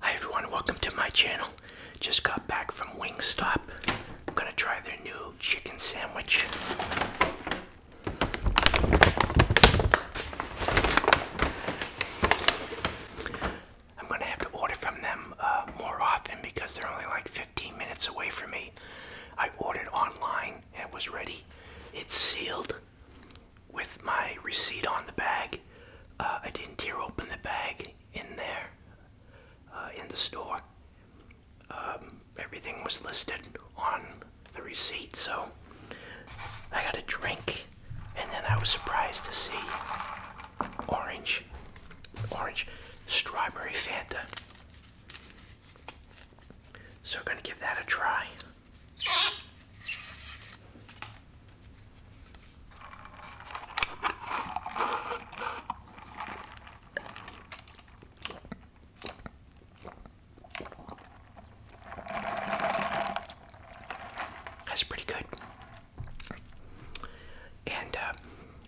Hi everyone, welcome to my channel. Just got back from Wingstop. I'm gonna try their new chicken sandwich. I'm gonna have to order from them uh, more often because they're only like 15 minutes away from me. I ordered online and it was ready. It's sealed with my receipt on the bag. Uh, I didn't tear open the bag in there, uh, in the store. Um, everything was listed on the receipt, so I got a drink, and then I was surprised to see orange, orange, strawberry Fanta. So we're gonna give that a try. That's pretty good. And uh,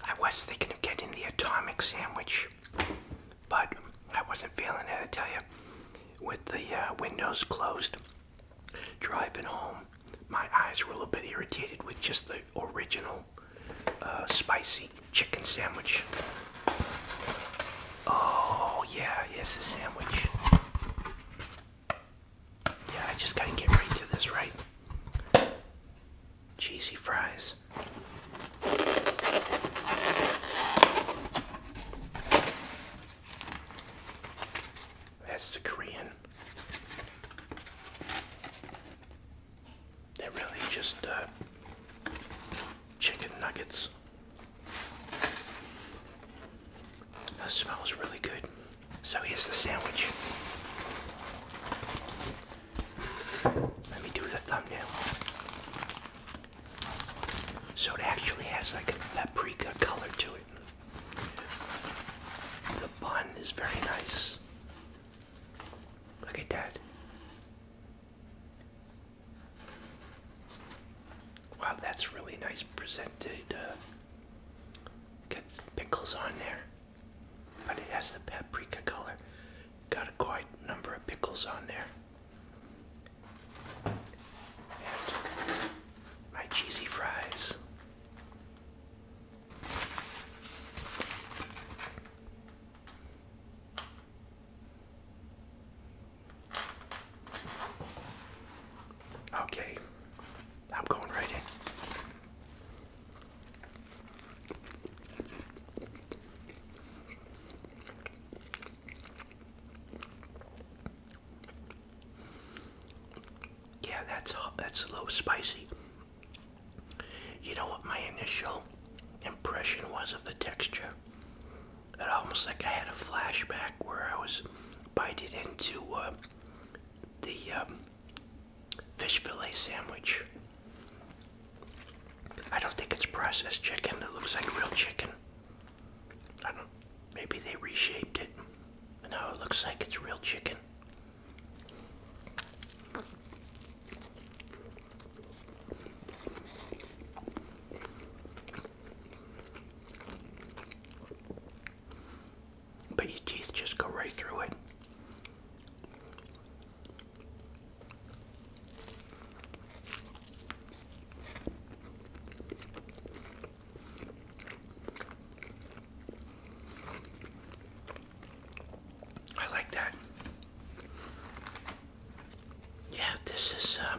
I was thinking of getting the atomic sandwich, but I wasn't feeling it, I tell you, with the uh, windows closed. Driving home, my eyes were a little bit irritated with just the original uh, spicy chicken sandwich. Oh, yeah, yes, the sandwich. Yeah, I just gotta get right to this, right? Cheesy fries. That's the Korean. They're really just uh, chicken nuggets. That smells really good. So here's the sandwich. Let me do the thumbnail. So it actually has like a paprika color to it. The bun is very nice. Look at that. Wow, that's really nice presented. Uh, Get pickles on there, but it has the paprika color. Got a quite number of pickles on there. And my cheesy fries. Okay, I'm going right in. Yeah, that's that's a little spicy. You know what my initial impression was of the texture? It almost like I had a flashback where I was bited into uh, the um, fish fillet sandwich. I don't think it's processed chicken. It looks like real chicken. I don't maybe they reshaped it and now it looks like it's real chicken. But your teeth just go right through it. I like that. Yeah, this is, uh,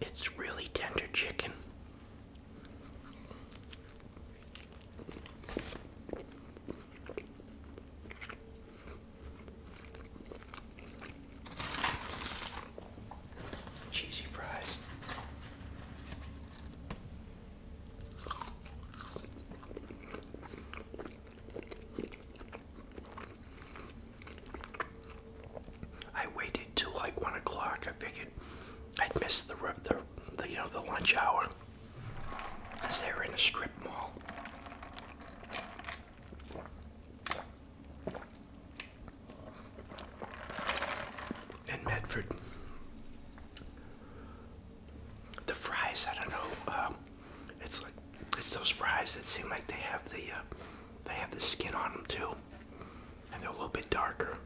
it's really tender chicken. Cheesy fries. I waited till like one o'clock. I figured I'd miss the, the, you know the lunch hour, as they were in a strip mall in Medford. The fries, I don't know. Um, it's like it's those fries that seem like they have the uh, they have the skin on them too, and they're a little bit darker.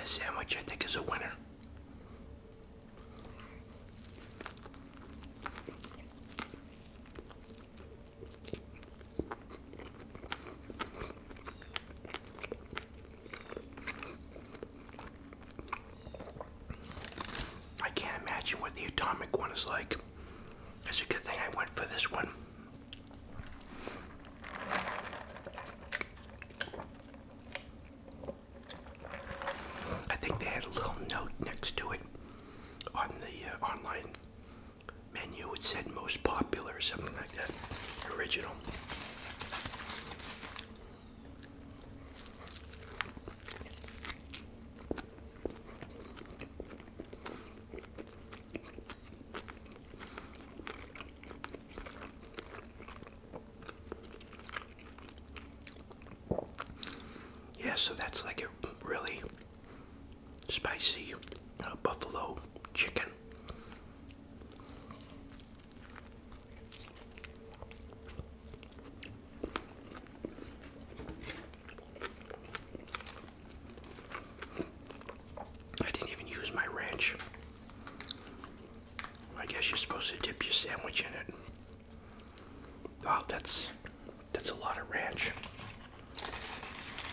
The sandwich, I think, is a winner. I can't imagine what the atomic one is like. It's a good thing I went for this one. I think they had a little note next to it on the uh, online menu. It said most popular or something like that. Original. Yeah, so that's like a really spicy uh, buffalo chicken. I didn't even use my ranch. I guess you're supposed to dip your sandwich in it. Oh, that's that's a lot of ranch.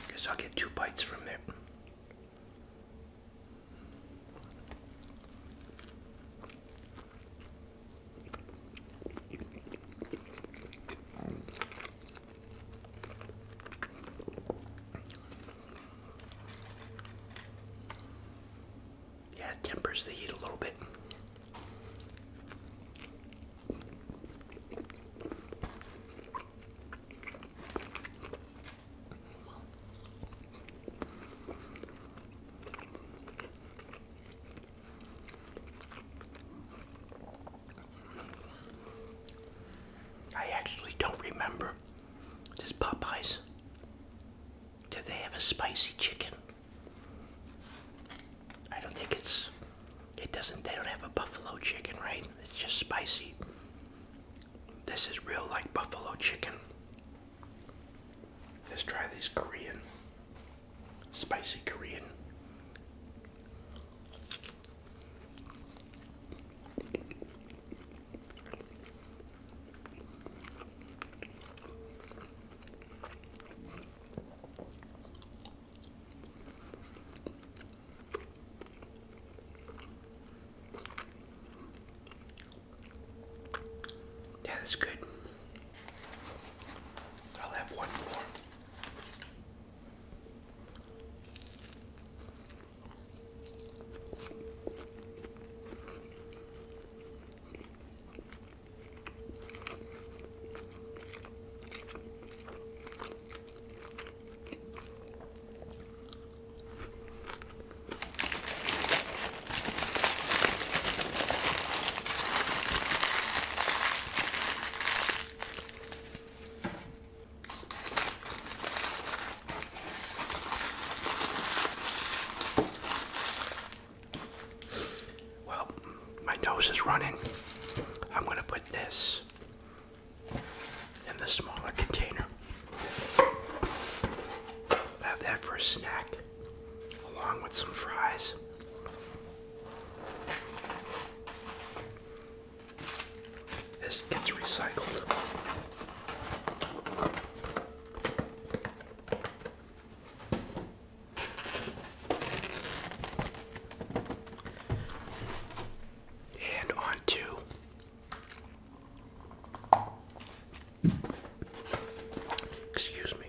Guess I'll get two bites from it. Yeah, it tempers the heat a little bit. I actually don't remember. This Popeyes. do they have a spicy chicken? I don't think it's. It doesn't. They don't have a buffalo chicken, right? It's just spicy. This is real like buffalo chicken. Let's try this Korean. Spicy Korean. Yeah, that's good. I'll have one more. Well, my nose is running. I'm going to put this in the smaller container. have that for a snack along with some fries. This gets recycled. And on to Excuse me.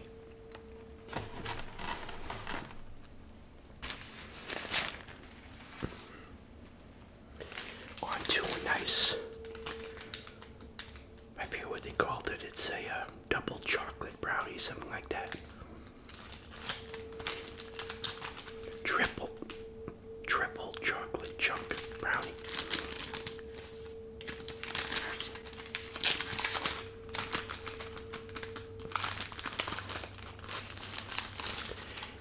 On oh, to nice, I forget what they called it, it's a uh, double chocolate brownie, something like that. Triple, triple chocolate chunk brownie.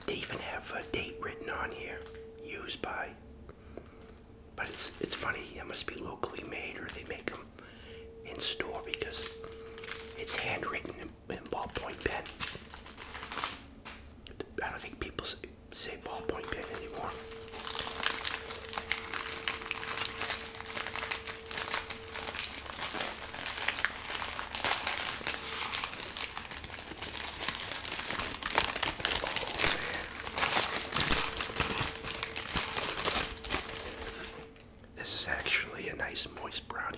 They even have a date written on here, used by. But it's it's funny. It must be locally made, or they make them in store because it's handwritten ballpoint pen. I don't think people say ballpoint pen anymore. this is actually a nice moist brownie.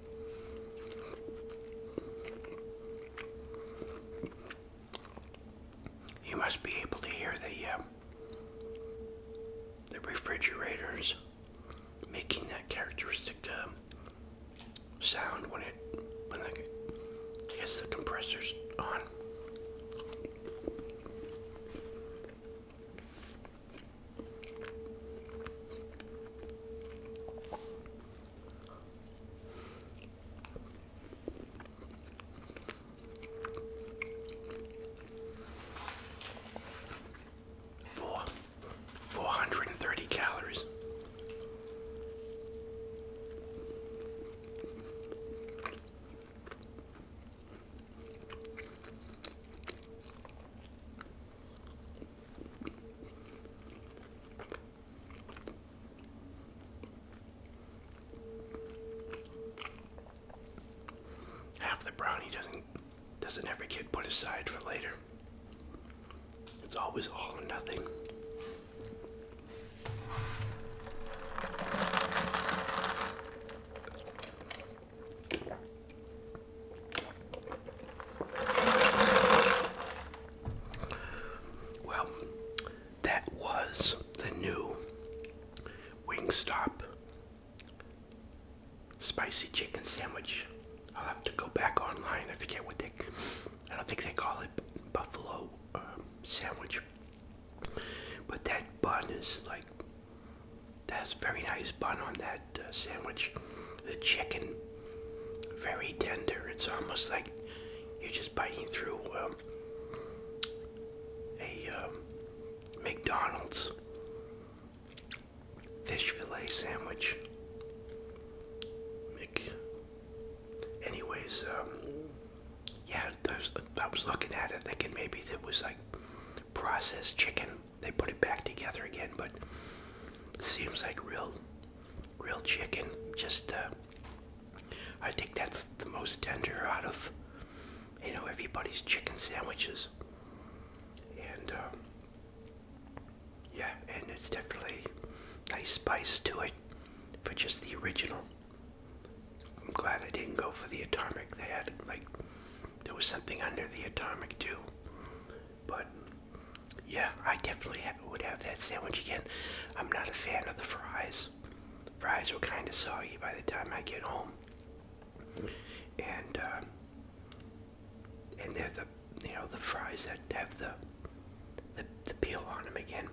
You must be able to hear the um, the refrigerators making that characteristic um, sound when it when the, I guess the compressor's on. Four, four hundred and thirty calories. Half the brownie doesn't doesn't every kid put aside for later. It's always all or nothing. Well, that was the new Wingstop spicy chicken sandwich. I'll have to go back online. I forget what they. I don't think they call it buffalo um, sandwich, but that bun is like that's very nice bun on that uh, sandwich. The chicken, very tender. It's almost like you're just biting through um, a um, McDonald's fish fillet sandwich. Anyways, um, yeah, I was, looking at it thinking maybe there was like processed chicken they put it back together again, but seems like real, real chicken. Just, uh, I think that's the most tender out of, you know, everybody's chicken sandwiches. And, um, yeah, and it's definitely nice spice to it for just the original. I'm glad I didn't go for the atomic. They had like there was something under the atomic too. But yeah, I definitely would have that sandwich again. I'm not a fan of the fries. Fries are kind of soggy by the time I get home, and uh, and they're the you know the fries that have the the, the peel on them again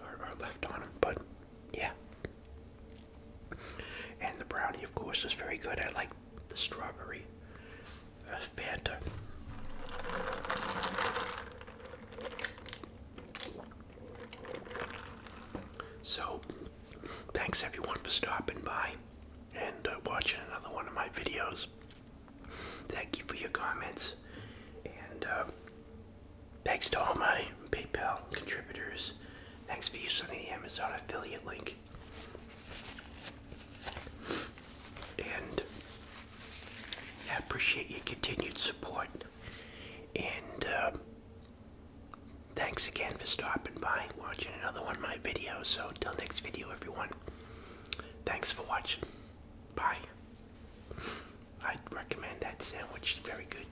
or, left on them. But yeah, and the brownie, of course, is very good. I like the strawberry uh, Fanta. So, thanks everyone for stopping by and uh, watching another one of my videos. Thank you for your comments. And uh, thanks to all my PayPal contributors Thanks for using the Amazon affiliate link. And I appreciate your continued support. And uh, thanks again for stopping by watching another one of my videos. So, till next video, everyone, thanks for watching. Bye. I'd recommend that sandwich, very good.